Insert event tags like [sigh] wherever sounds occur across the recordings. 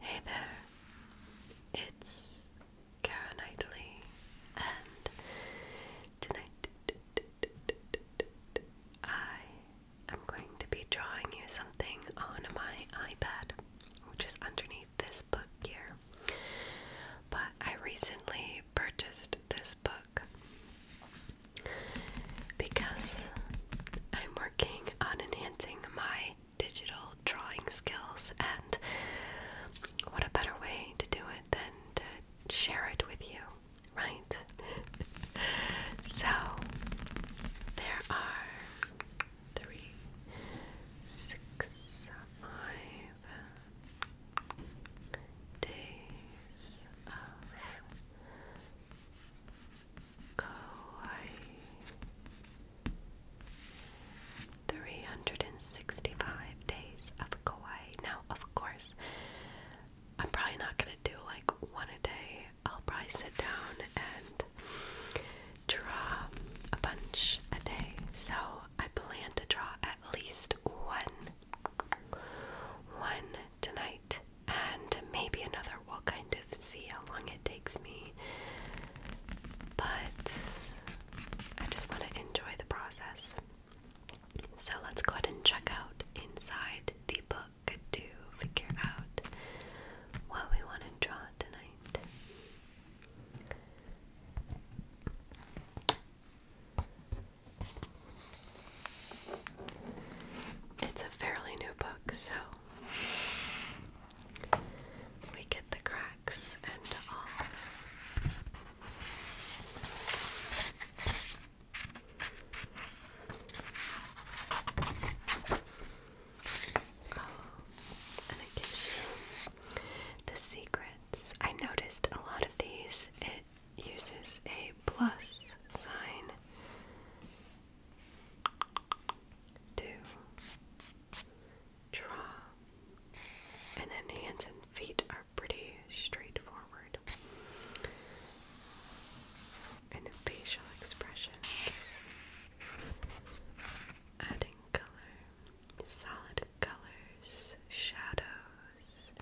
Hey there, it's Kara Knightley, and tonight I am going to be drawing you something on my iPad, which is underneath this book here. But I recently purchased this book because I'm working on enhancing my digital drawing skills, and what a better way to do it than to share it with you, right? [laughs] so, there are three, six, five days of Kauai. 365 days of Kauai. Now, of course, I'm probably not going to do like one a day. I'll probably sit down and draw a bunch a day. So, I plan to draw at least one. One tonight and maybe another. We'll kind of see how long it takes me. But I just want to enjoy the process. So let's go ahead and check out inside the book to figure out what we want to draw tonight. It's a fairly new book, so we get the cracks and all. Oh, and it gives the secrets. I noticed a lot of these, it uses a plus sign to draw, and then hands and feet are pretty straightforward. And the facial expressions, adding color, solid colors, shadows.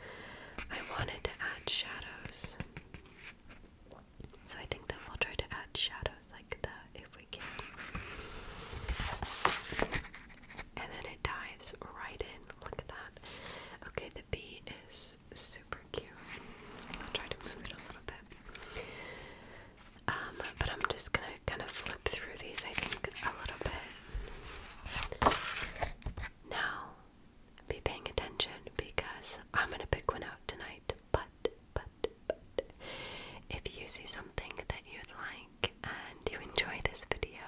I wanted to add shadows. So I think that we'll try to add shadows like that if we can. And then it dives right in. Look at that. Okay, the bee is super cute. I'll try to move it a little bit. Um, but I'm just gonna kind of flip through these, I think, a little bit. Now, be paying attention because I'm gonna pick one out tonight. But, but, but, if you see something that you'd like and you enjoy this video,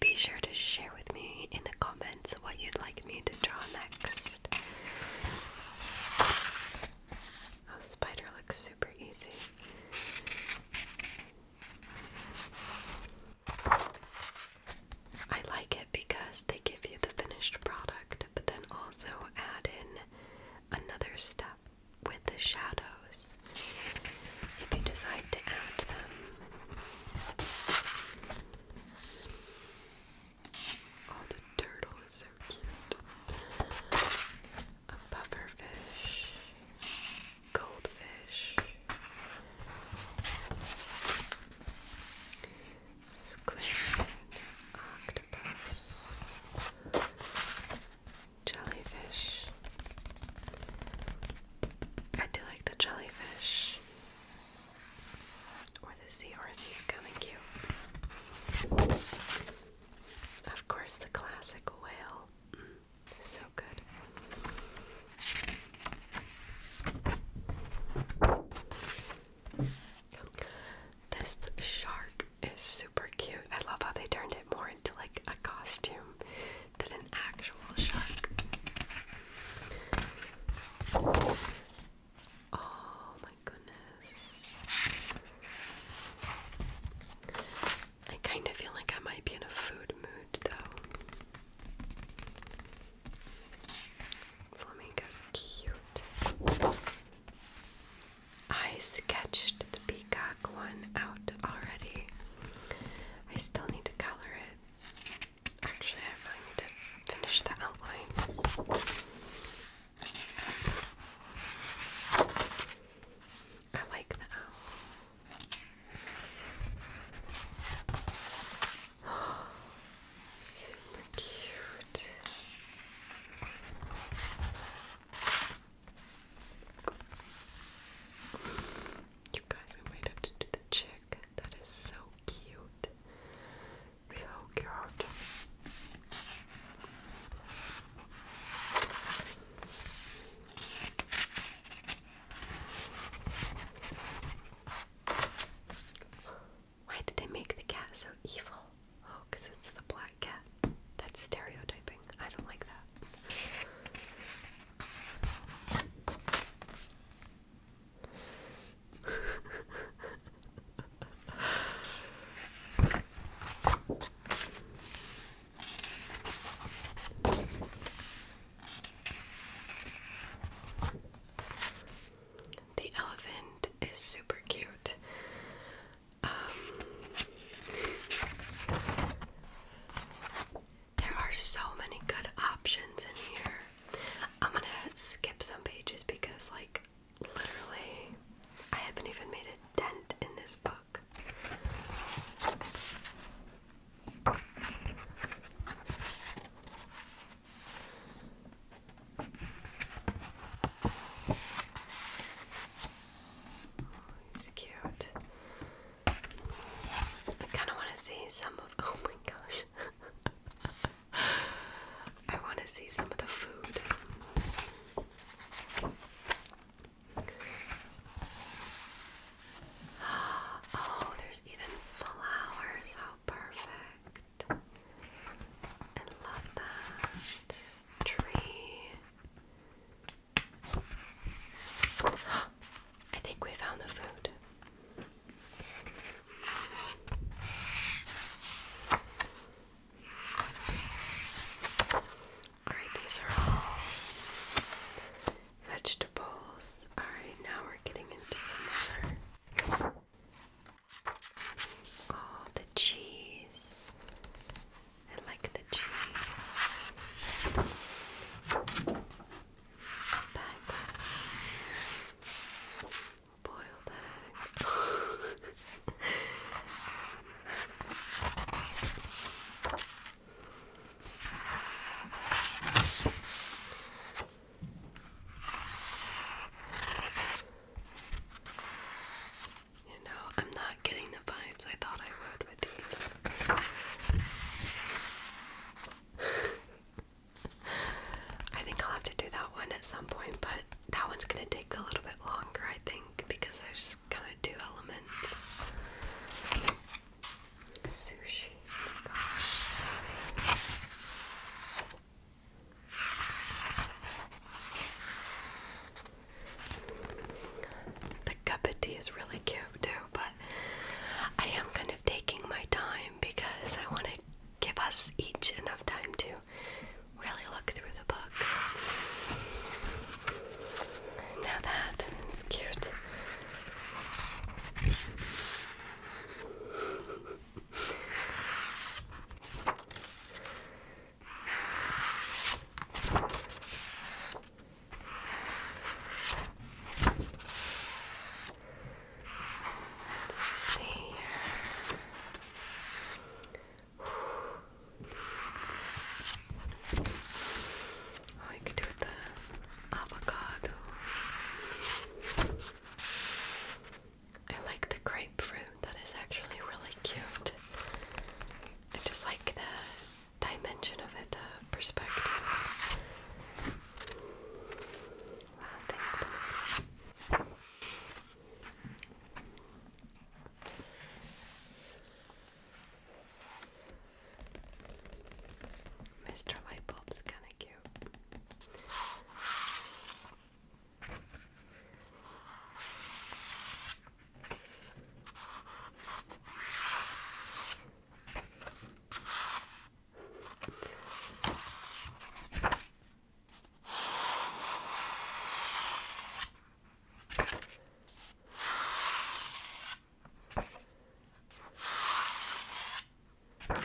be sure to share with me in the comments what you'd like me to draw next. Oh, spider looks super easy. I like because they give you the finished product, but then also add in another step with the shadows if you decide to add them. Oh, the turtle is so cute. A pufferfish, goldfish squid, octopus, jellyfish. I do like the jellyfish or the seahorse is coming cute. Of course, the classic whale. Mm, so good. This shark is super cute. I love how they turned it more into like a costume than an actual shark. Oh my goodness. I kind of feel like I might be in a food mood though. Flamingo's cute. I sketched the peacock one out already. I still need to color it. Actually, I really need to finish the outlines. I like the owl. Super [gasps] cute. You guys, we might have to do the chick. That is so cute. So cute. Why did they make the cat so evil? Oh, because it's the black cat. That's stereotyping. I don't like that. The elephant is super cute. Um, there are so many good options in here. I'm gonna skip some pages because, like, literally, I haven't even made a dent in this book. He's cute. I kind of want to see some of. Oh my gosh. [laughs] I want to see some of the food. [gasps] Oh, there's even flowers. How perfect. I love that tree. [gasps] I think we found the food. Alright, these are all vegetables. Alright, now we're getting into some more Oh, the cheese. I like the cheese. Back. Boiled egg. [laughs] You know, I'm not getting the vibes I thought I would with these. [laughs] I think I'll have to do that one at some point, but that one's gonna take a little bit longer, I think, because there's kind of two elements. Sushi, oh the cup of tea is really cute too, but I am kind of taking my time because I want to give us each enough time to really look through the book. Now that is cute see here. Oh, you could do it with the avocado. I like the grapefruit. That is actually really cute. I just like the dimension of it, the perspective. Wow, thank Mr. Lightbulb's kind of cute. That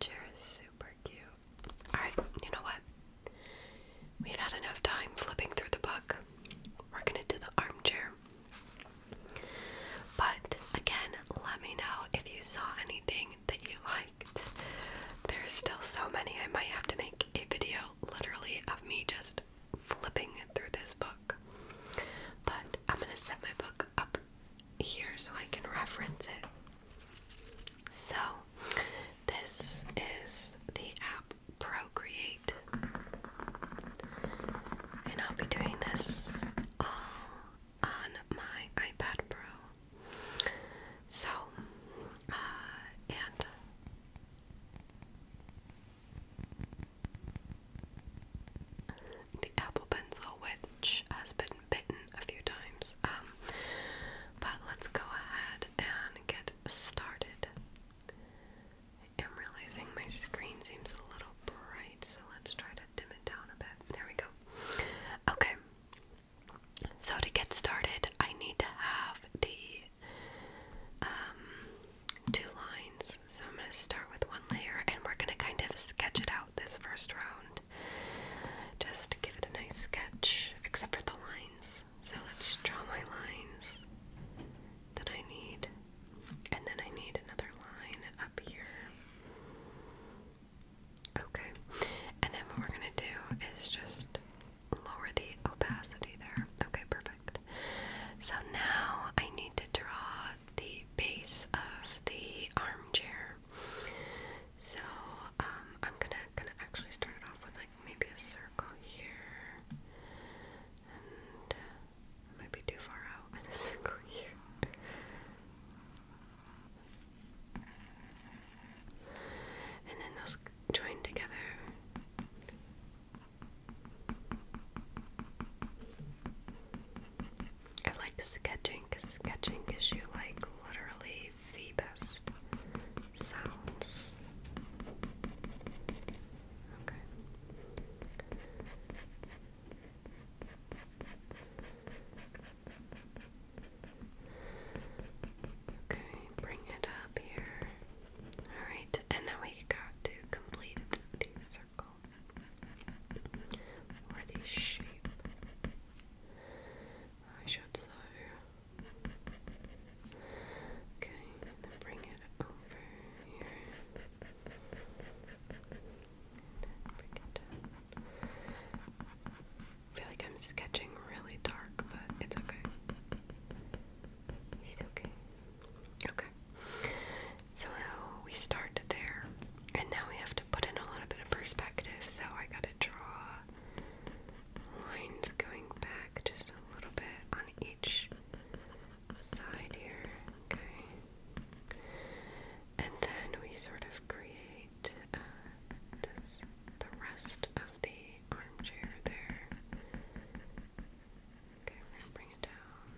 chair is super cute. Alright, you know what? We've had enough time flipping through the book. We're going to do the armchair. But again, let me know if you saw anything that you liked. There's still so many, I might have to make a video literally of me just flipping through this book. But I'm going to set my book up here so I can reference it. So, this is the app procreate. And I'll be doing this all on my iPad Pro. So, uh, and the Apple Pencil, which has been bitten a few times. Um, but let's go ahead and get started. I am realizing my screen seems a little bright, so let's try to dim it down a bit. There we go. Okay. So to get started, I need to have the um, two lines. So I'm going to start with one layer, and we're going to kind of sketch it out this first round. Just give it a nice sketch, except for the lines. So let's draw my lines that I need. And then I need another line up here. Okay. And then what we're going to do is just lower the opacity there. Okay, perfect. So now I need to draw the base of the armchair. So um, I'm gonna gonna actually start it off with like maybe a circle here, and uh, it too far out, [laughs] and a circle here. And then those join together. I like sketching because sketching gives you like literally the best sounds. Okay. Okay, bring it up here. Alright, and now we got to complete the circle or the shape. I should say. Okay, bring it over here. feel like I'm sketching really dark, but it's okay. okay. Okay. So we start there, and now we have to put in a little bit of perspective, so I gotta draw lines going back just a little bit on each side here, okay? And then we sort of create uh, the rest of the armchair there. Okay, bring it down.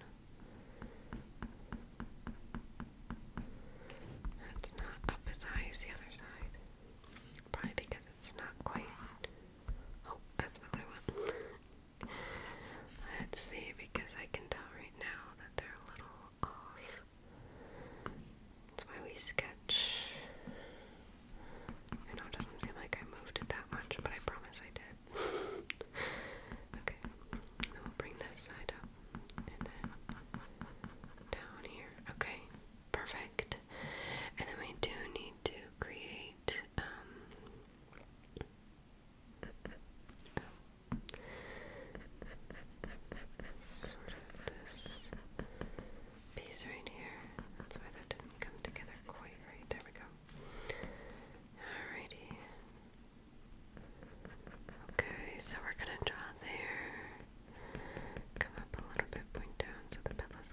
That's not up as high as the other side. Probably because it's not quite Oh, that's not what I want. Let's see, because I can tell right now that they're a little off. That's why we sketch. I know it doesn't seem like I moved it that much, but I promise I did. [laughs] okay, then we'll bring this side up and then down here. Okay, perfect. And then we do need to create um, sort of this piece right here. That's why that didn't come together quite right. There we go. Alrighty. Okay, so we're gonna draw there. Come up a little bit, point down so the pillow's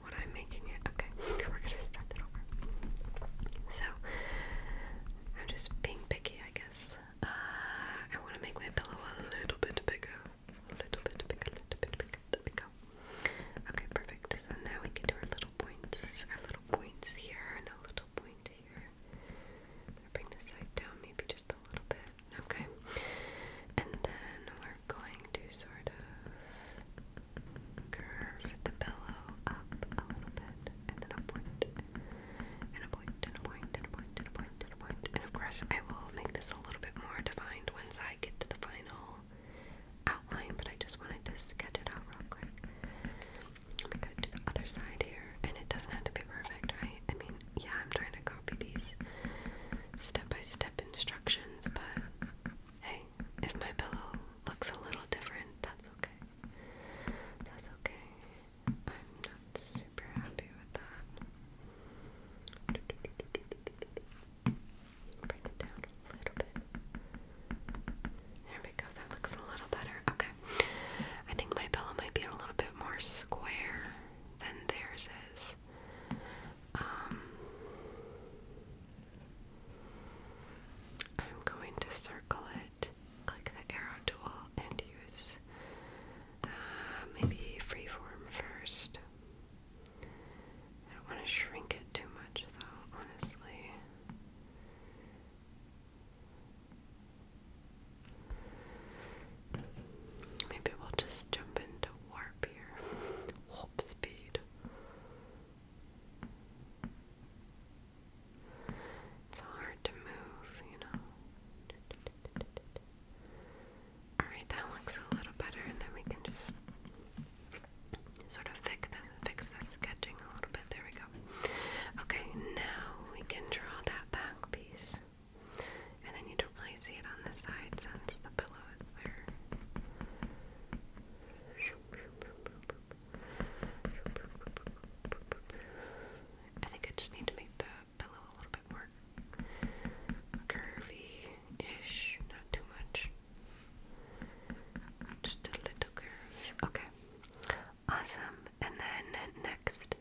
what I'm making it. Okay, we're gonna start that over. So, I'm just being picky, I guess. Uh, I want to make my pillow a little bit bigger. A little bit bigger, a little bit bigger. There we go. Okay, perfect. So now we can do our little points. Our little points here and a little point here. bring this side down maybe just a little bit. Okay. And then going to sort of curve the pillow up a little bit, and then a point, and a point, and a point, and a point, and a point, and a point. And of course, I will make this a little bit more defined once I get to the final outline, but I just wanted to sketch it out real quick. I'm gonna do the other side here, and it doesn't have to be perfect, right? I mean, yeah, I'm trying to copy these step by step instructions, but Hey, if my pillow looks a little different, that's okay. That's okay. I'm not super happy with that. Bring it down a little bit. There we go. That looks a little better. Okay. I think my pillow might be a little bit more square than theirs is. Um, I'm going to circle it, click the arrow tool, and use uh, maybe freeform first. I don't want to shrink it too much, though, honestly. Maybe we'll just jump into warp here. [laughs] warp speed. It's hard to move, you know. Alright, that looks a little better, and then we can just sort of fix this, sketching a little bit. There we go. Okay, now we can draw that back piece. And then you don't really see it on the side since the I think I just need to make the pillow a little bit more curvy-ish, not too much. Just a little curve. Okay. Awesome. And then next step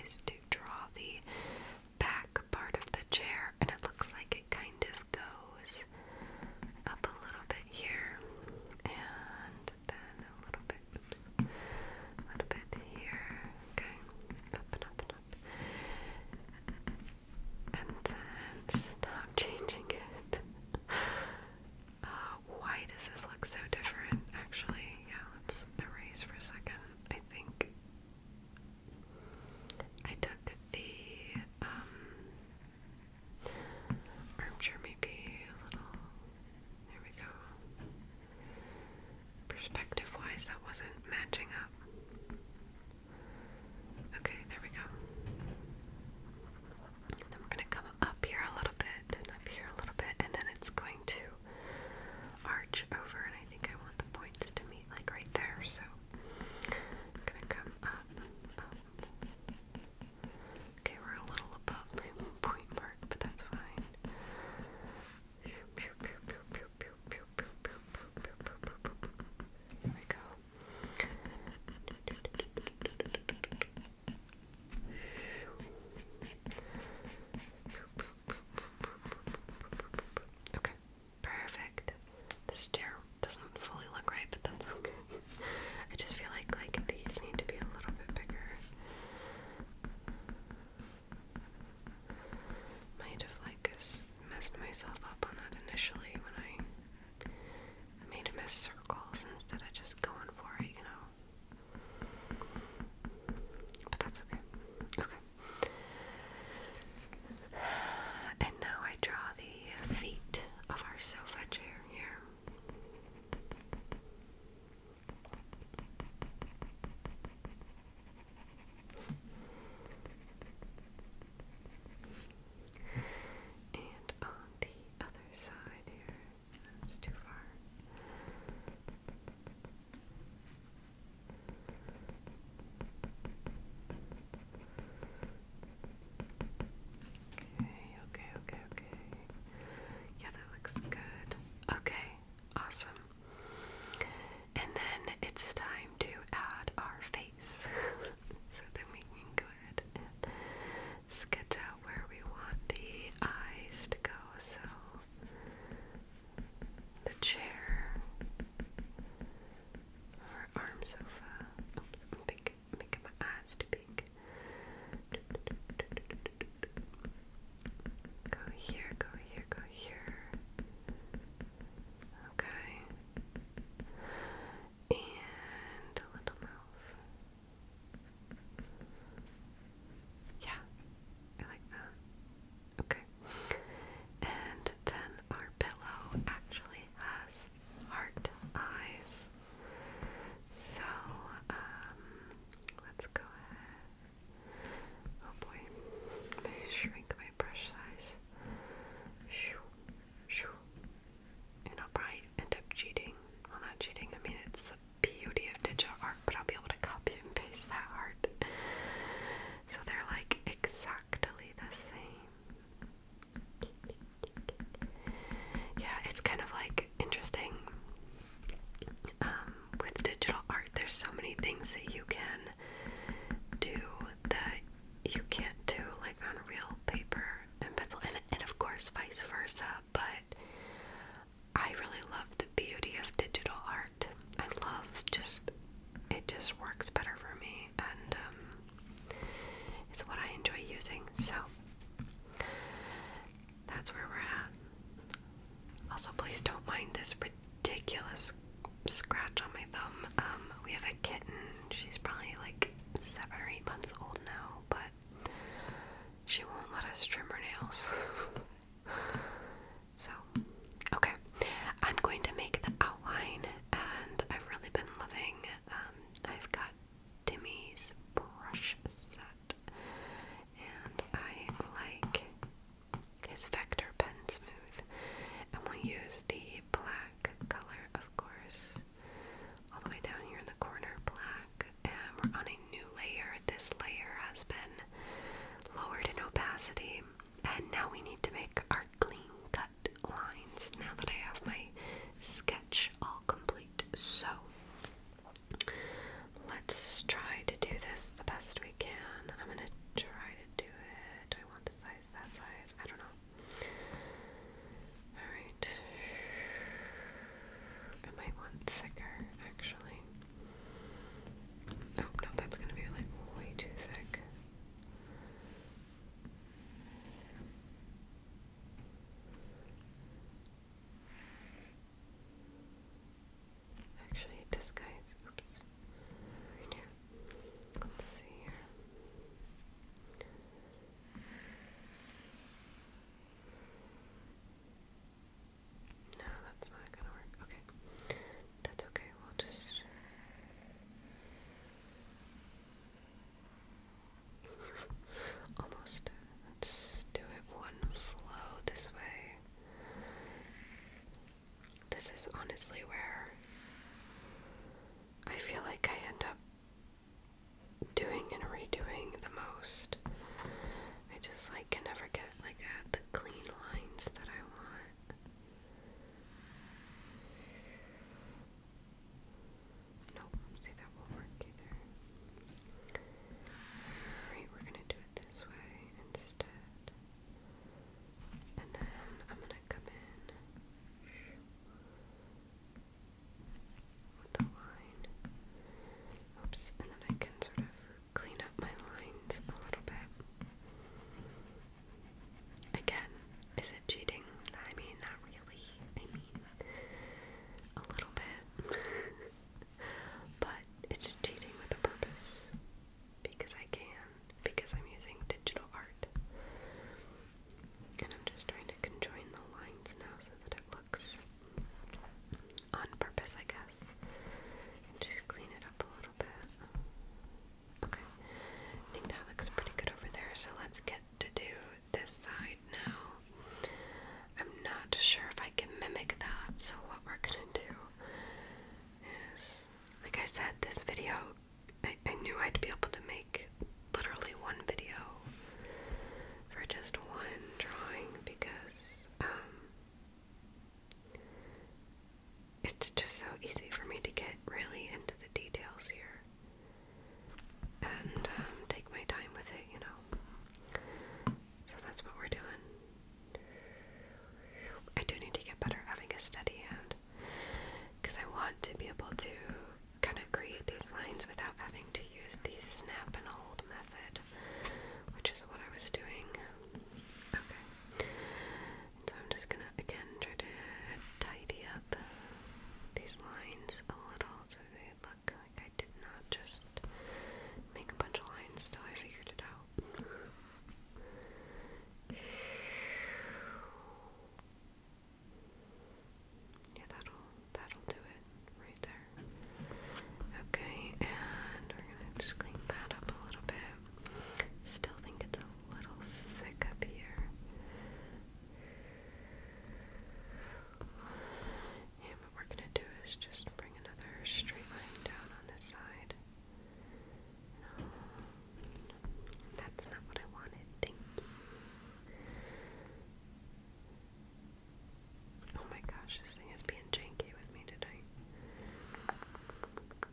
is to draw the back part of the chair, and it looks like it kind of goes up a little bit here, and then a little bit, a little bit here. Okay, up and up and up, and then stop changing it. Uh, why does this look so different? Actually, yeah, let's erase for a second. I think I took the um, armchair, maybe a little. There we go. Perspective wise, that wasn't matching up. Okay, there we go. then we're going to come up here a little bit up here a little bit, and then it's going to arch over. And I think I want the points to meet like right there. So gonna come up, Okay, we're a little above point mark, but that's fine. There we go. Okay. Perfect. The stair doesn't fully look right, but that's okay. I just feel like like these need to be a little bit bigger. Might have like messed myself up on that initially when I made them as circles instead of just going for it, you know. But that's okay. Okay. [sighs] And now I draw the feet of our sofa chair here. And on the other side here, that's too far. Okay, okay, okay, okay. Yeah, that looks good. Okay, awesome. And then it's time to add our face. [laughs] so then we can go ahead and sketch out where we want the eyes to go. So the chair our arm sofa. Oops, I'm big, my eyes too big. Go here, go here, go here. Okay. And a little mouth. Yeah, I like that. Okay. And then our pillow actually has heart eyes. So, um, let's go ahead. Oh boy. Let shrink my brush size. Shoo, shoo. And I'll end up cheating. Well, not cheating. I mean, it's the beauty of digital art, but I'll be able to copy and paste that art. So they're like exactly the same. Yeah, it's kind of like interesting. Um, with digital art, there's so many things that you can do that you can't do like on real paper and pencil, and, and of course, vice versa. But I really love the beauty of digital art. I love just it just works better for me and um, it's what I enjoy using. So that's where we're at. Also, please don't mind this ridiculous scratch on my thumb. Um, we have a kitten. She's probably like seven or eight months old now, but she won't let us trim her nails. [laughs] so Okay, I'm going to make the outline, and I've really been loving. Um, I've got Timmy's brush set, and I like his vector pen smooth, and we'll use the black color, of course, all the way down here in the corner, black. And we're on a new layer. This layer has been lowered in opacity, and now we need to make our clean cut lines now that I have my sketch all complete. So let's try to do this the best we can. I'm gonna try to do it. Do I want this size, that size? I don't know. Alright. I might want thicker actually. Oh no, that's gonna be like way too thick. Actually, this guy's Right here. Let's see here. No, that's not gonna work. Okay. That's okay, we'll just Almost Let's do it one flow this way. This is honestly where I feel like I end up doing and redoing the most. I just like can never get like uh, the clean lines that I want. Nope, see that won't work either. Alright, we're gonna do it this way instead. And then I'm gonna come in with the line. Oops, and then I can sort of clean up my lines a little bit. Again, is it cheating? I mean, not really. I mean, a little bit. [laughs] but it's cheating with a purpose. Because I can. Because I'm using digital art. And I'm just trying to conjoin the lines now so that it looks on purpose, I guess. just clean it up a little bit. Okay. I think that looks pretty good over there. So let's get to do this side now. I'm not sure if I can mimic that. So what we're gonna do is, like I said, this video. I, knew I'd be able to make literally one video for just one drawing because um, it's just so easy for me to get really into the details here and um, take my time with it, you know. So that's what we're doing. I do need to get better at having a steady hand because I want to be able to kind of create these lines without having to use the snap and hold method, which is what I was doing. Okay so I'm just gonna again try to tidy up these lines a little so they look like I did not just make a bunch of lines till I figured it out. Yeah, that'll that'll do it right there. Okay, and we're gonna just clean that up a little bit. Still think it's a little thick up here. And what we're gonna do is just bring another straight line down on this side. that's not what I wanted. Oh my gosh, this thing is being janky with me tonight.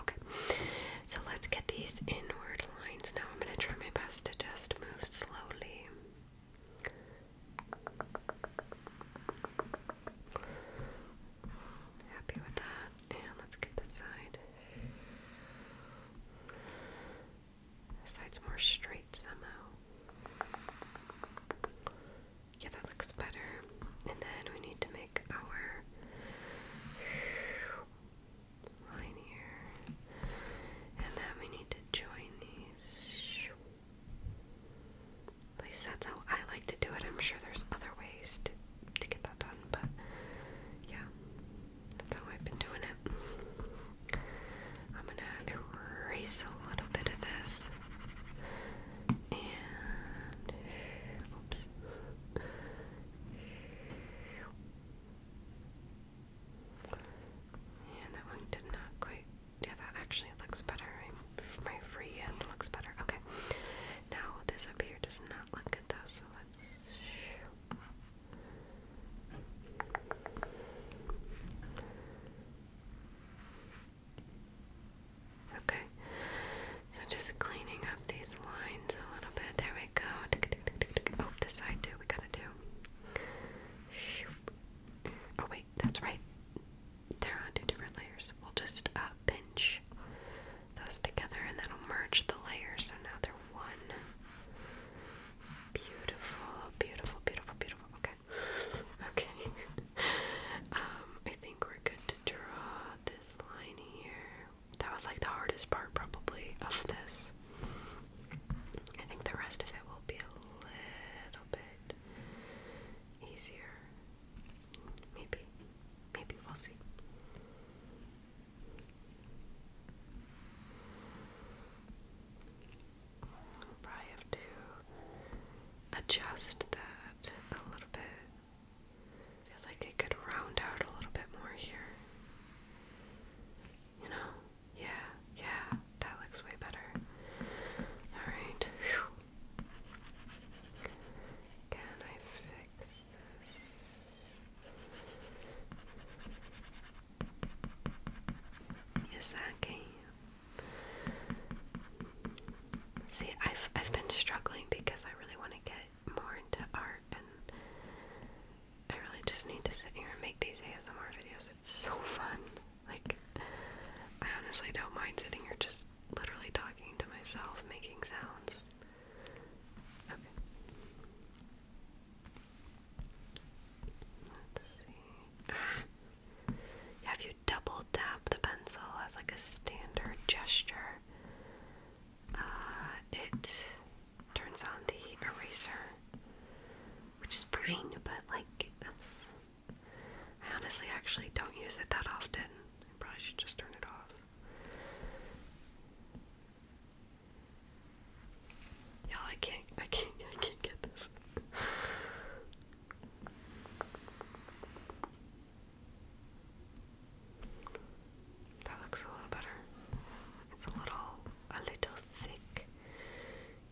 Okay, so let's get these inward lines now. I'm going to try my best to just move slowly. Happy with that. And let's get this side. This side's more straight somehow. Yeah, that looks better. And then we need to make our line here. And then we need to join these. At least that's how I like to do it. I'm sure there's other ways to, to get that done, but yeah, that's how I've been doing it. I'm gonna erase a little bit of this and oops. Yeah, that one did not quite. Yeah, that actually looks better. my free end looks better. Okay. Now this up here does not look good though, so let's. Okay, so just cleaning up these lines a little bit. There we go. Oh, this side too. We gotta do. Oh wait, that's right. They're on two different layers. We'll just uh, pinch those together, and then that'll merge the layers. So now they're one. Beautiful, beautiful, beautiful, beautiful. Okay, [laughs] okay. [laughs] um, think we're good to draw this line here. That was like the hardest part, probably, of this. I think the rest of it will be a little bit easier. Maybe. Maybe we'll see. probably have to adjust that a little bit. Feels like it could round out a little bit more here. You know? Yeah, yeah, that looks way better. Alright. Can I fix this? Yes, I can. See, I've I've been struggling because I really want to get more into art, and I really just need to sit here and make these ASMR videos. It's so fun. Like, I honestly don't mind sitting here just literally talking to myself, making sounds. Okay. see. [sighs] Ah. you double tap the pencil as like a standard gesture. Uh, it turns on the eraser, which is fine, but like that's. I honestly actually don't use it that often. I probably should just turn it off. Y'all, I can't, I can't, I can't get this. That looks a little better. It's a little, a little thick.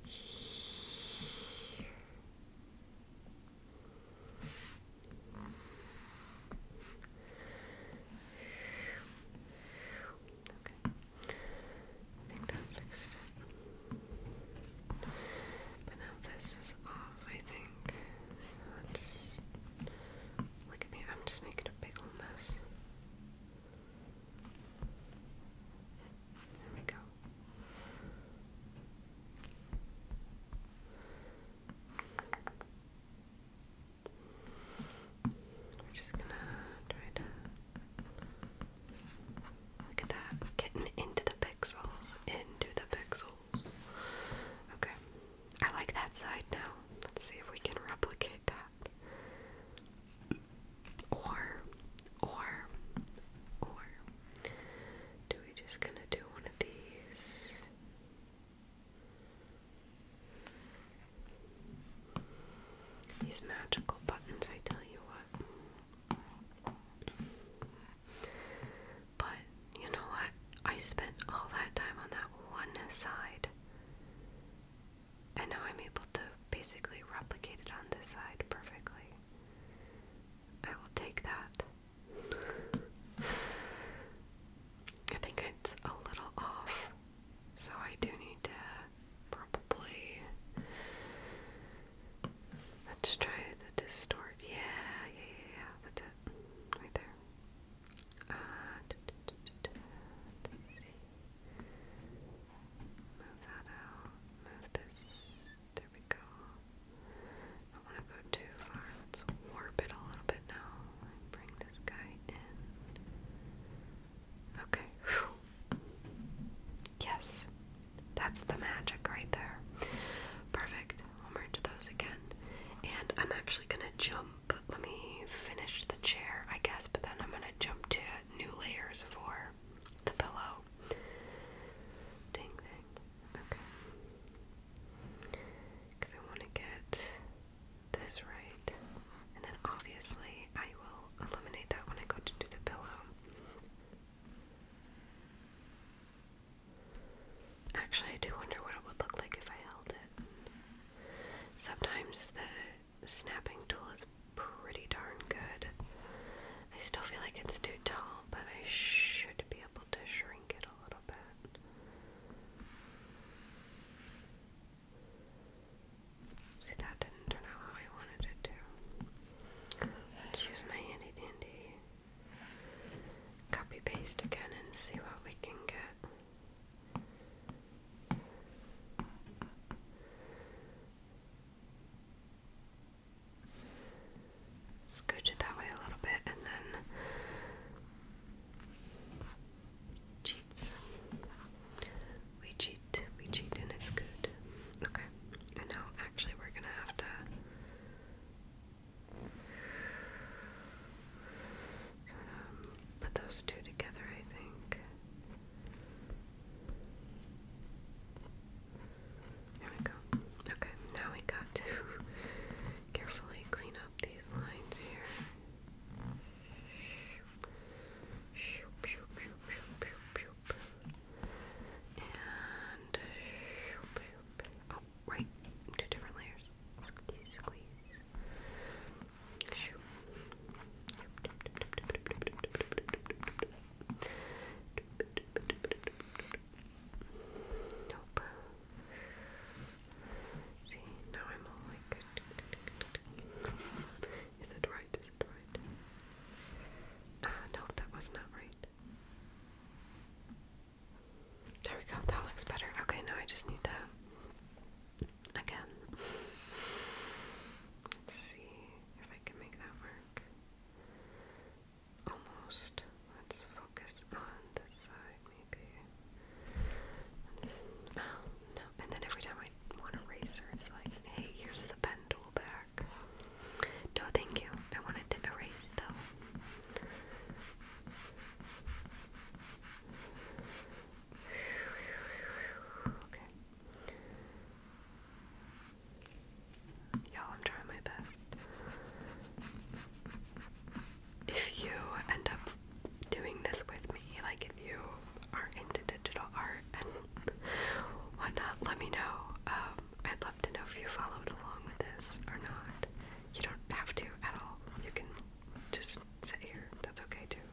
Okay. I think that fixed it. But now this is off, I think think that's look at me, I'm just making a big old mess. There we go. We're just gonna try to look at that, getting into the pixels, into the pixels. Okay. I like that side now. Let's see if we can replicate that. Or, or, or, do we just gonna do one of these? These magical buttons, I tell you what. But you know what? I spent all that time on that one side. And now I'm able to basically replicate it on this side perfectly. I will take that. I think it's a little off, so I do need to probably. Let's try the distort. Yeah, yeah, yeah, That's it right there. Let's uh, see. Move that out. Move this. There we go. I want to go too far. Let's warp it a little bit now. bring this guy in. Okay. Yes. That's the magic right there. Perfect i merge those again. And I'm actually gonna jump. Let me finish the chair, I guess, but then I'm gonna jump to new layers for the pillow. Ding ding. Okay. Because I want to get this right. And then obviously I will eliminate that when I go to do the pillow. Actually, I do wonder what it would look like if I held it. Sometimes the snapping tool is pretty darn good. I still feel like it's too tall, but I should be able to shrink it a little bit. See, that didn't turn out how I wanted it to. Let's use my handy dandy Copy paste again and see what we can get. Scooch it that way a little bit and then cheats. We cheat, we cheat, and it's good. Okay, and now actually we're gonna have to. So um, put those two together, I think. There we go. Okay, now we got to [laughs] carefully clean up these lines here. And right? Two different layers. Squeeze, squeeze. Nope. See, now I'm all like, is it right? Is it right? Ah, uh, that was not right. There we go, that looks better. Okay, now I just need to again. see if I can make that work. Almost. Let's focus on this side, maybe. Oh no! And then every time I want to erase it's like, "Hey, here's the pen tool back." No, thank you. I wanted to erase though. Y'all, I'm trying my best. If you end up doing this with me, like if you are into digital art and [laughs] whatnot, let me know. Um, I'd love to know if you followed along with this or not. You don't have to at all. You can just sit here. That's okay too.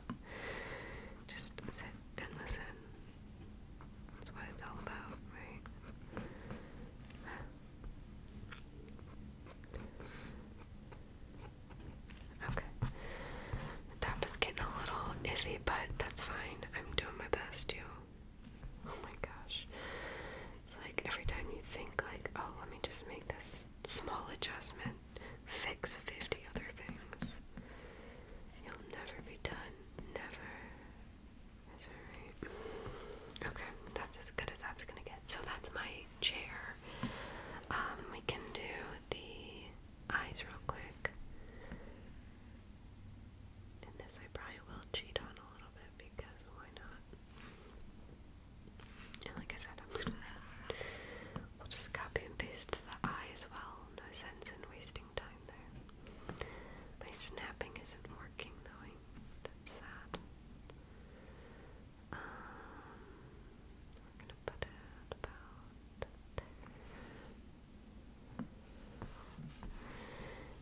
Just sit and listen. That's what it's all about, right? Okay. The top is getting a little iffy, but that's fine. I'm doing my best, you. Oh my gosh. It's like every time you think like, oh, let me just make this small adjustment, fix 50 other things. You'll never be done. Never. Is that right? Okay, that's as good as that's gonna get. So that's my chair. Um, we can do the eyes real quick. And this I probably will cheat on a little bit because why not? like I said, we'll just copy and paste the eye as well. No sense in wasting time there. My snapping isn't working though. That's sad. we're um, gonna put it about there.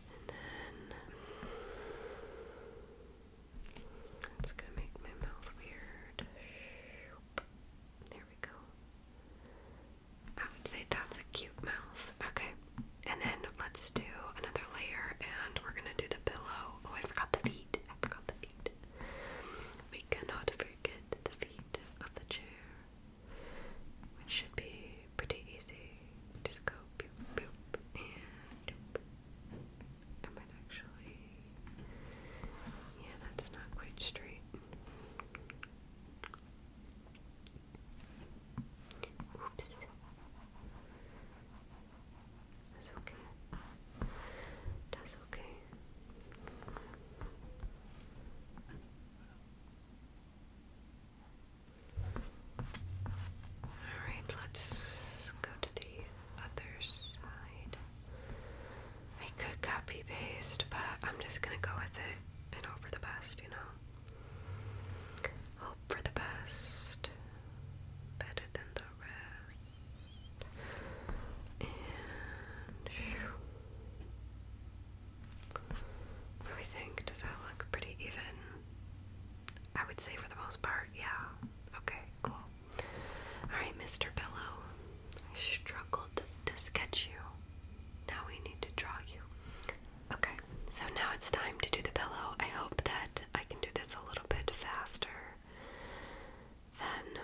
And then that's gonna make my mouth weird. There we go. I would say that's a cute mouth. Okay. And then let's do another layer and we're gonna do the pillow. Oh, I forgot the feet. I forgot the feet. We cannot forget the feet of the chair, which should be pretty easy just go boop boop and I might actually yeah that's not quite straight oops that's okay that's okay Alright, let's go to the other side. I could copy paste, but I'm just gonna go with it and hope for the best, you know? Hope for the best. Better than the rest. And. do we think? Does that look pretty even? I would say for the most part, yeah. Okay, cool. Alright, Mr. Pillow, I struggled to sketch you. Now we need to draw you. Okay, so now it's time to do the pillow. I hope that I can do this a little bit faster than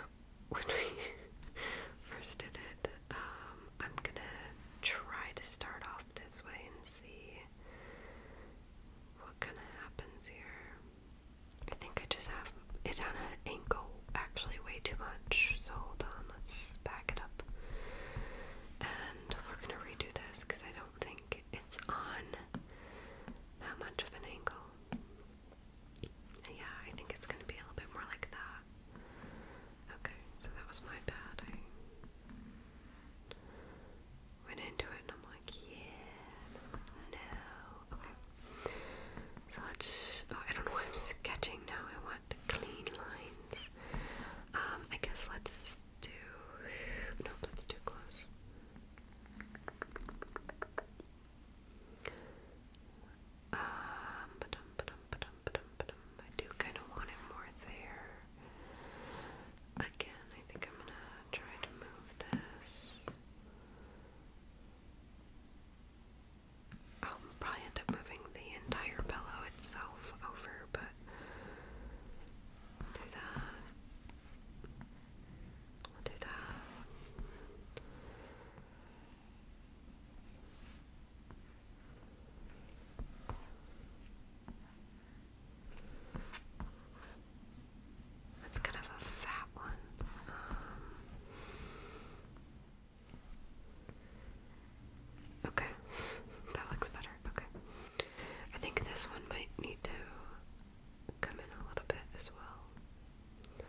when we [laughs] first did it. Um, I'm gonna try to start off this way and see what kind of happens here? I think I just have it on an angle, actually way too much. So hold on, let's back it up. And we're gonna redo this because I don't think it's on that much of an angle. Yeah, I think it's gonna be a little bit more like that. Okay, so that was my bad went into it and I'm like, yeah. no. Okay. So let's. Oh, I don't know why I'm sketching now. I want clean lines. Um, I guess let's do. No, that's too close. Um, I do kind of want it more there. Again, I think I'm gonna try to move this. I'll probably end up moving the entire pillow itself over, but do that. I'll do that. That's kind of a fat one. Um, okay, [laughs] that looks better. Okay. I think this one might need to come in a little bit as well.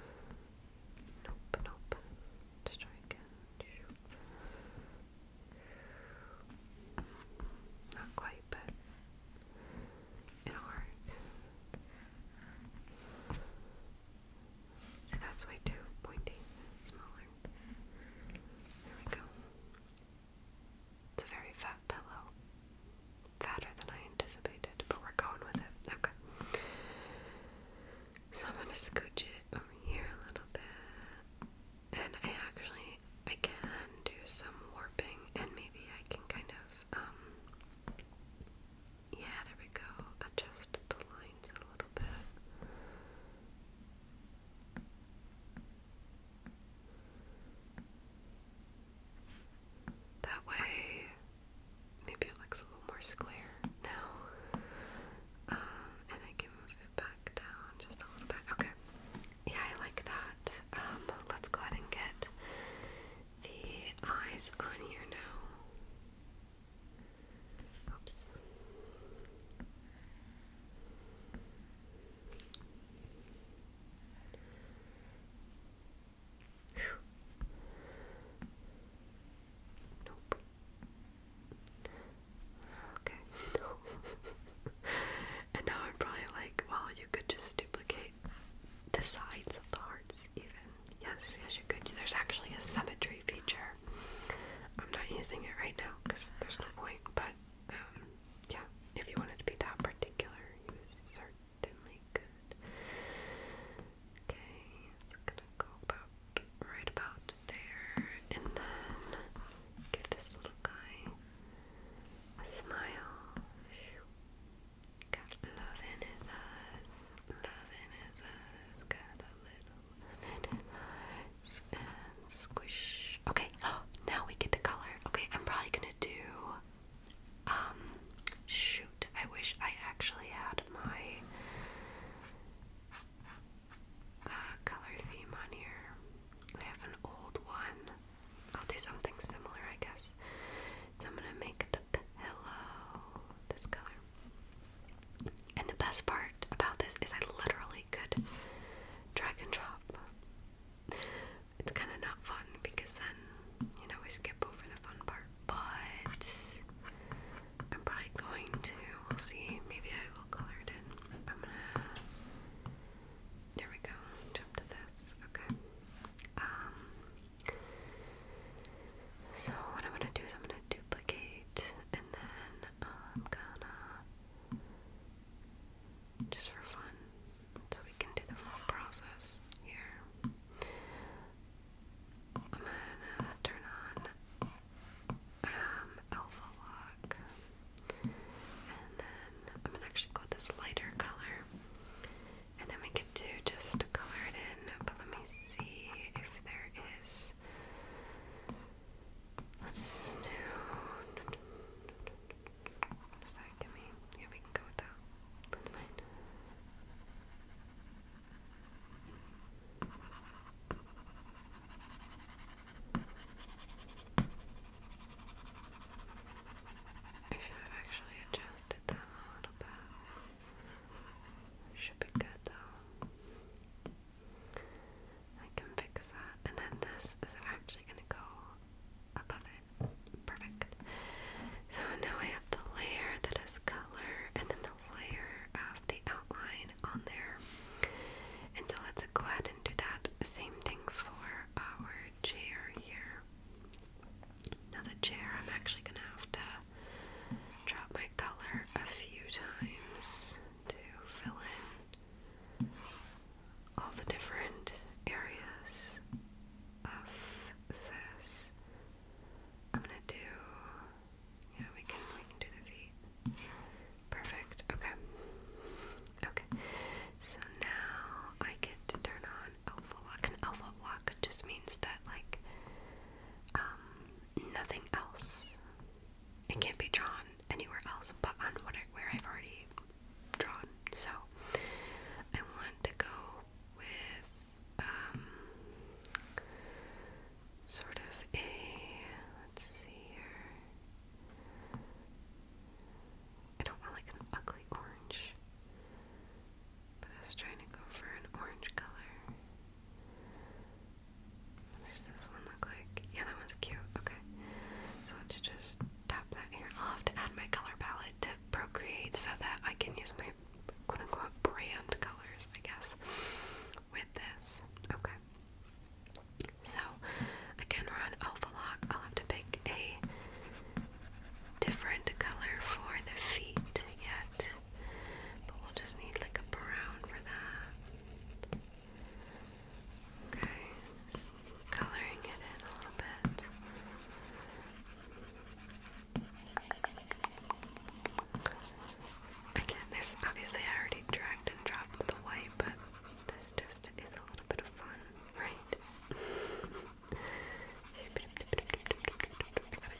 Nope, nope. Just try again. Not quite, but it'll work. See, that's way too pointy, smaller. There we go. It's a very fat pillow. Fatter than I anticipated, but we're going with it. Okay. So I'm going to scooch it over here a little bit and I actually I can do some warping and maybe I can kind of um yeah there we go adjust the lines a little bit that way maybe it looks a little more square now um, and I can move back down just a little bit. Okay. Yeah, I like that. Um, let's go ahead and get the eyes on here now. Oops. Okay. [laughs] [laughs] and now I'm probably like, well, you could just duplicate the sides of the hearts, even. Yes, yes, you could. There's actually a symmetry feature. I'm not using it right now because there's no point, but um, yeah, if you wanted to be that particular, you certainly could. Okay, it's gonna go about right about there, and then give this little guy smile. Got love in his eyes, love in his eyes, got a little squish. Okay, oh, now we get the color. Okay, I'm probably gonna do, um, shoot, I wish I actually had my uh, color theme on here. I have an old one I'll do something similar, I guess. So I'm gonna make the pillow this color. And the best part about this is I literally could drag and drop. It's kind of not fun because then, you know, we skip over the fun part. But I'm probably going to, we'll see, maybe I will color it in. I'm gonna there we go. Jump to this. Okay. Um, so what I'm gonna do is I'm gonna duplicate, and then I'm um, gonna just for fun, so we can do the full process here. I'm gonna turn on um, Alpha Lock. And then I'm gonna actually go with this lighter color. And then we could do just color it in, but let me see if there is. Let's do. Does that give me? Yeah, we can go with that. I should have actually adjusted that a little bit. Should be good though. I can fix that. And then this is actually going to go above it. Perfect. So now I have the layer that is color and then the layer of the outline on there. And so let's go ahead and do that same thing for our chair here. Now the chair, I'm actually gonna have to drop my color a few times to fill in all the different areas of this. I'm gonna do yeah, we can we can do the feet. Perfect. Okay. Okay. So now I get to turn on alpha lock. And alpha lock just means that like um, nothing else. It can't be drawn anywhere else but on what where I've already drawn. So I want to go with um, sort of a let's see here I don't want like an ugly orange, but I was trying to go for an orange color. What does this one look like? Yeah, that one's cute. Okay. So let just tap that here. I'll have to add my color palette to Procreate so that I can use my quote unquote brand colors, I guess, with this. Okay. So, again, we're on Alpha Lock. I'll have to pick a different color for the feet yet, but we'll just need like a brown for that. Okay, coloring it in a little bit. Again, there's obviously I already dragged and dropped the white, but this just is a little bit of fun, right?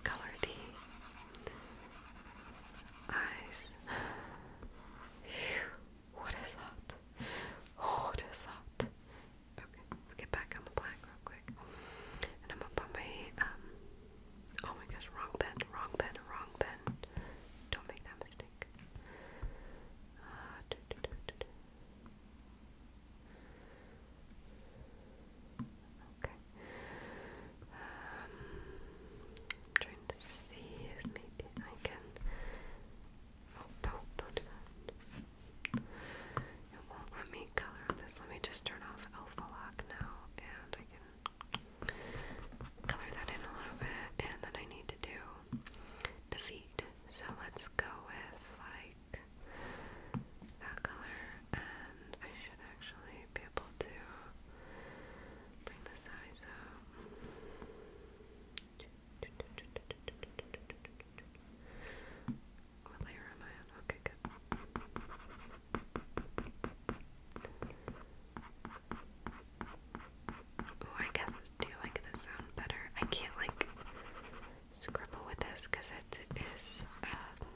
color the eyes. What is that? What is that? Okay, let's get back on the black real quick. And I'm gonna put my um. Oh my gosh, wrong pen, wrong pen, wrong pen. Don't make that mistake plastic. Ah, okay. Um, I'm trying to see if maybe I can. Oh, no, not do It won't let me color this. Let me just turn off Alpha Lock now and I can color that in a little bit. And then I need to do the feet. So let's go with like that color, and I should actually be able to bring the size up. What layer am I Okay, good. Ooh, I guess I do like this sound better. I can't like scribble with this because it is um,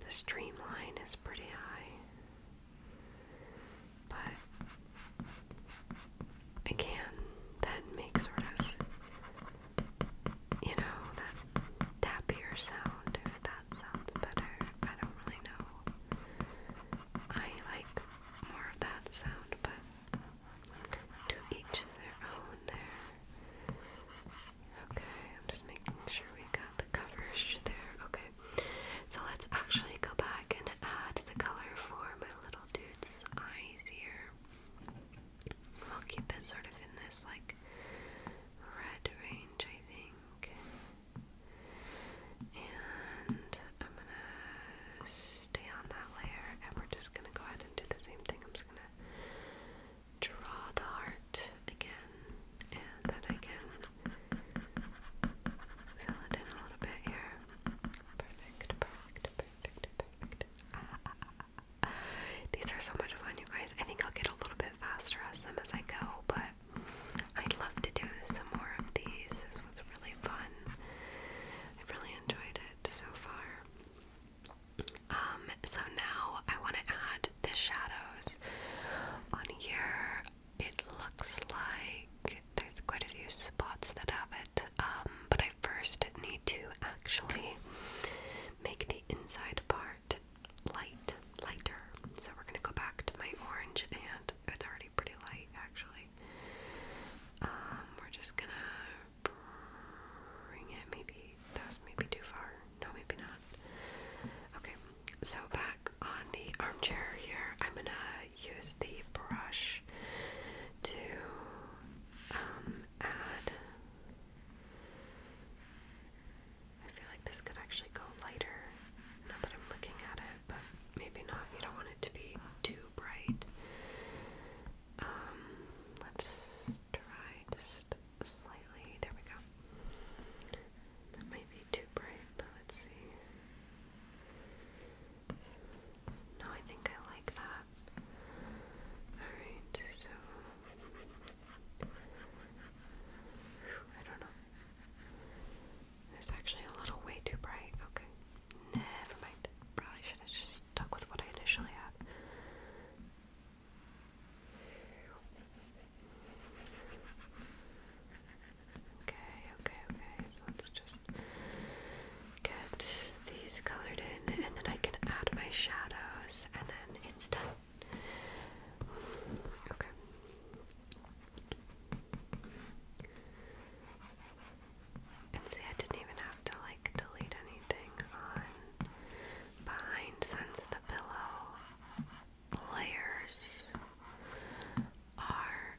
the streamline is pretty high, but I can then make sort of you know that tappier sound if that sounds better. I don't really know. I like more of that sound, but to each their own there. Okay, I'm just making sure we got the coverage there. Okay, so let's actually go back and add the color for my little dude's eyes here. I'll keep it sort of in this like red range, I think. And I'm gonna stay on that layer and we're just gonna go ahead and do the same thing. I'm just gonna draw the heart again and then I can fill it in a little bit here. Perfect, perfect, perfect, perfect. Ah, ah, ah, ah. These are so much fun, you guys. I think I'll get a little bit faster at them as I go, but I'd love to do some more of these. This was really fun. I've really enjoyed it so far. Um, so now I want to add the shadows on here. It looks like there's quite a few spots that have it, um, but I first need to actually make the inside part light, lighter. So we're going to go back to my orange, and oh, it's already pretty light actually. Um, we're just gonna bring it. Maybe that maybe too far. No, maybe not. Okay, so back on the armchair here, I'm gonna use the brush to um, add. I feel like this could actually go lighter. Not that I'm looking at it, but maybe not. You don't want it to be too bright. Um, let's try just slightly. There we go. That might be too bright, but let's see. No, I think I like that. Alright, so. I don't know. It's actually a little way too bright. Okay. Never mind. Probably should have just stuck with what I initially had. Okay, okay, okay. So let's just get these colored in and then I can add my shadows and then it's done. Okay. And see, I didn't even have to like delete anything on behind since the pillow layers are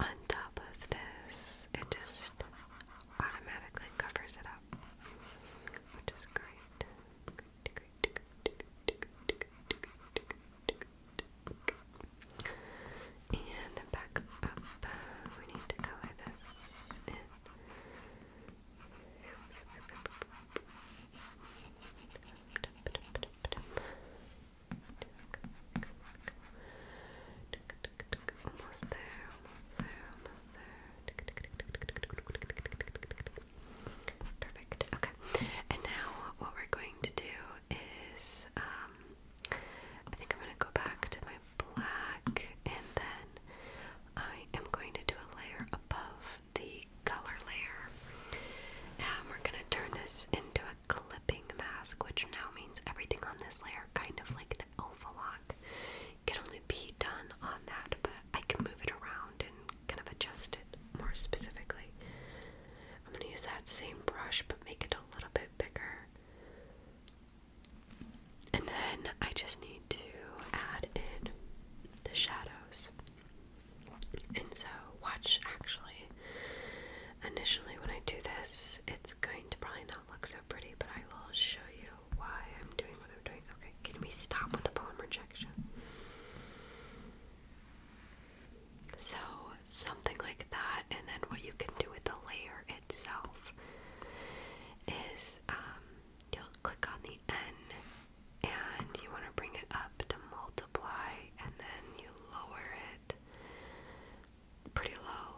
on top of this. It just automatically covers it up, which is great. And then back up. Uh, we need to color this Almost there, almost there, almost there. Perfect. Okay. And now what we're going to do is um, I think I'm going to go back to my black and then I am going to do a layer above the color layer. And we're going to turn this into a clipping mask, which now means everything on this layer, kind of like the oval lock, can only be done on that, but I can move it around and kind of adjust it more specifically. I'm going to use that same brush but make it a little bit bigger. And then I just need to add in the shadows. And so, watch actually. Initially, when I do this, it's going to probably not look so pretty, but I will show you why I'm doing what I'm doing. Okay, can we stop with the poem rejection? So, something like that, and then what you can do with the layer itself is um, you'll click on the N and you want to bring it up to multiply, and then you lower it pretty low.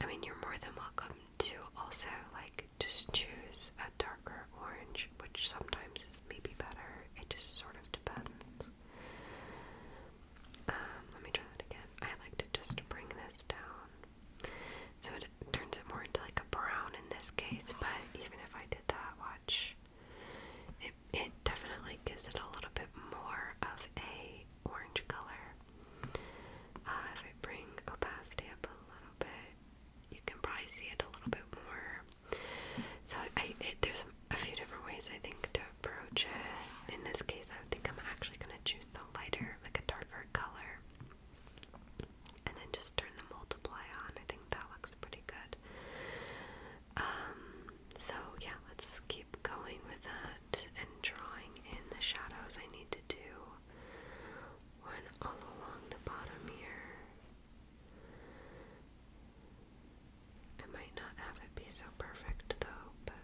I mean, you're more than welcome to also like just choose a darker orange, which sometimes is maybe better, it just sort of depends. Um, let me try that again. I like to just bring this down. So it turns it more into like a brown in this case, but even if I did that, watch. It, it definitely gives it a little bit more of a orange color. Uh, if I bring opacity up a little bit, you can probably see it a little bit more. So I, there's a few different ways I think to in this case, I think I'm actually going to choose the lighter, like a darker color, and then just turn the multiply on. I think that looks pretty good. Um, so yeah, let's keep going with that and drawing in the shadows. I need to do one all along the bottom here. I might not have it be so perfect though, but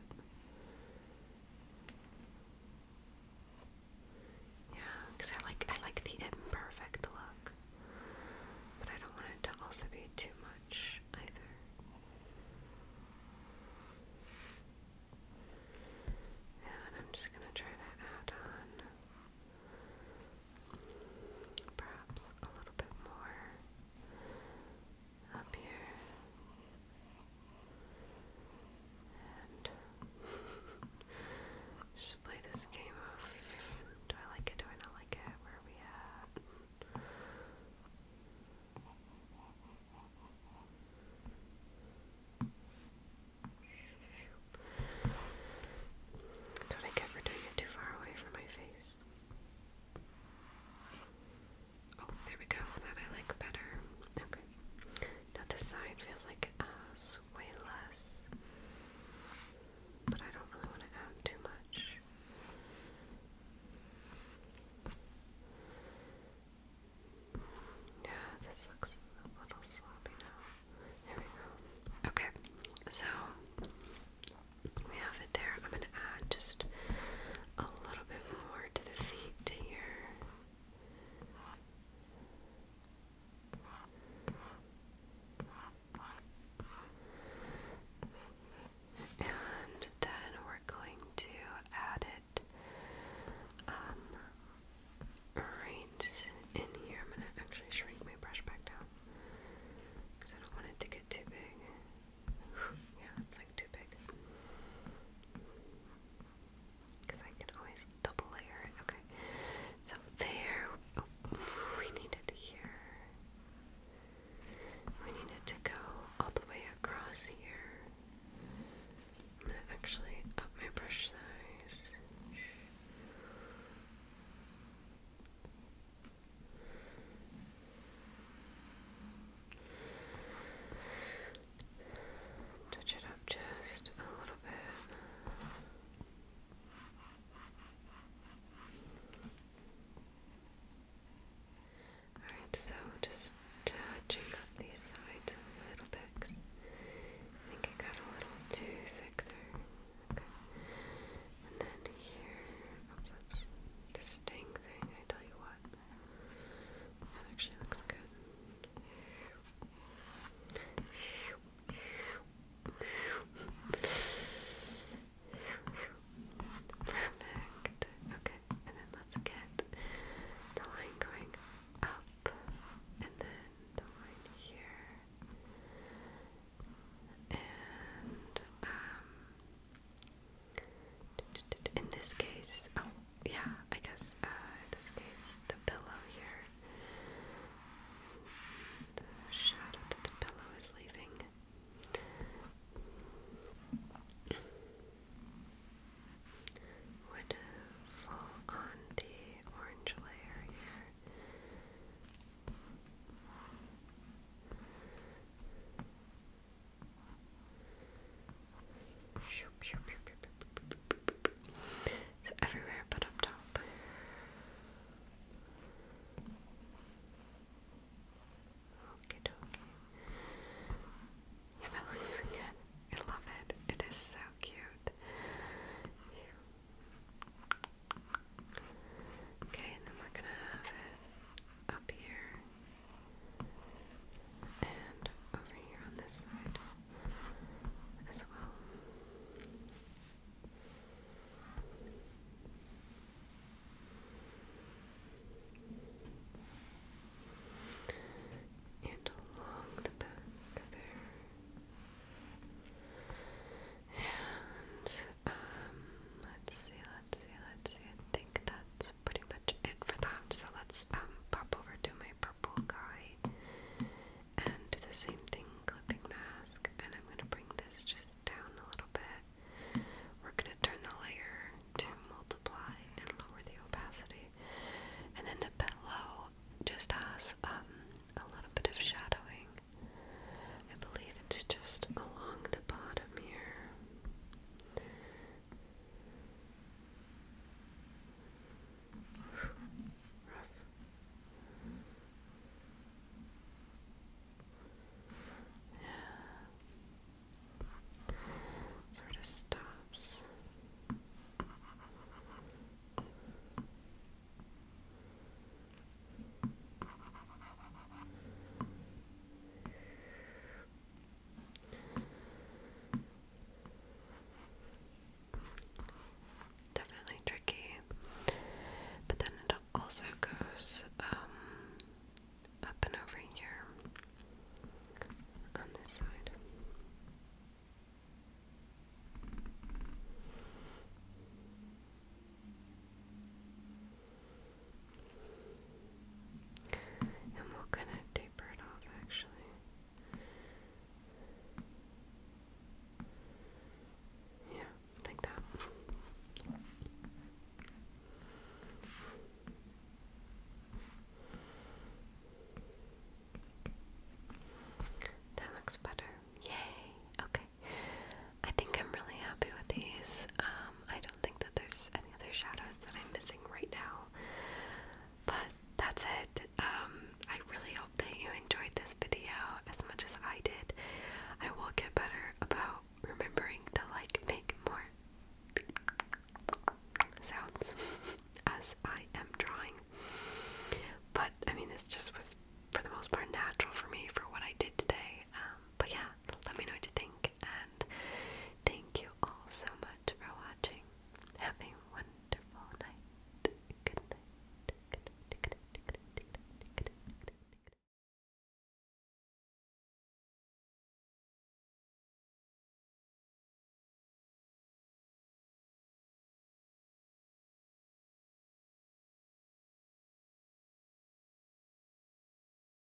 yeah, because I like I like the imperfect look, but I don't want it to also be too much either. And I'm just gonna try to add on perhaps a little bit more up here and just play this game of do I like it, do I not like it, where are we at? That's what I get for doing it too far away from my face. Oh, there we go. That I like better. Okay. Now this side feels like uh, way less. But I don't really want to add too much. Yeah, this looks a little sloppy now. There we go. Okay, so we have it there. I'm going to add just a little bit more to the feet here. And then we're going to add it um, right in here. I'm going to actually shrink my brush back down because I don't want it to get too big yeah, it's like too big. Because I can always double layer it. Okay. So there. Oh, we need here. We need to go all the way across here. I'm going to actually up my brush size. Touch it up just a little bit. Alright, so just touching up these sides a little bit. I think it got a little too thick there. Okay. And then here, oops, that's the sting thing, I tell you what. Actually, looks good. Perfect. Okay, and then let's get the line going up, and then the line here, and um, in this case, oh yeah, I guess uh, in this case, the pillow here, shadow that the pillow is leaving. Would fall on the orange layer here. So everywhere but up top. Okay, that looks good. I love it. It is so cute. Okay, and then we're gonna have up here and over here on this side as well. And along the back there. And um, let's see, let's see, let's see. I think that's pretty much it for that. So let's um, pop over to my purple guy and do the same thing, clipping mask, and I'm gonna bring this just down a little bit. We're gonna turn the layer to multiply and lower the opacity. And then the pillow just has um, a little bit of shadowing. I believe it's just along the bottom here. Rough. Yeah. Sort of stops. Definitely tricky. But then it also goes um, up and over here on this side. And we'll connect a bird off actually. Yeah, like that. That looks better. Yay. Okay. I think I'm really happy with these. Um, I don't don't think that there's any other shadows that I'm missing right now. But that's it. Um, I really hope that you enjoyed this video as much as I did. I will get better about remembering to like make more sounds [laughs] as I am drawing. But I mean, this just was for the most part natural for me for what I did today. Um, but yeah, let me know what you think and thank you all so much for watching. Have a wonderful night. Good night.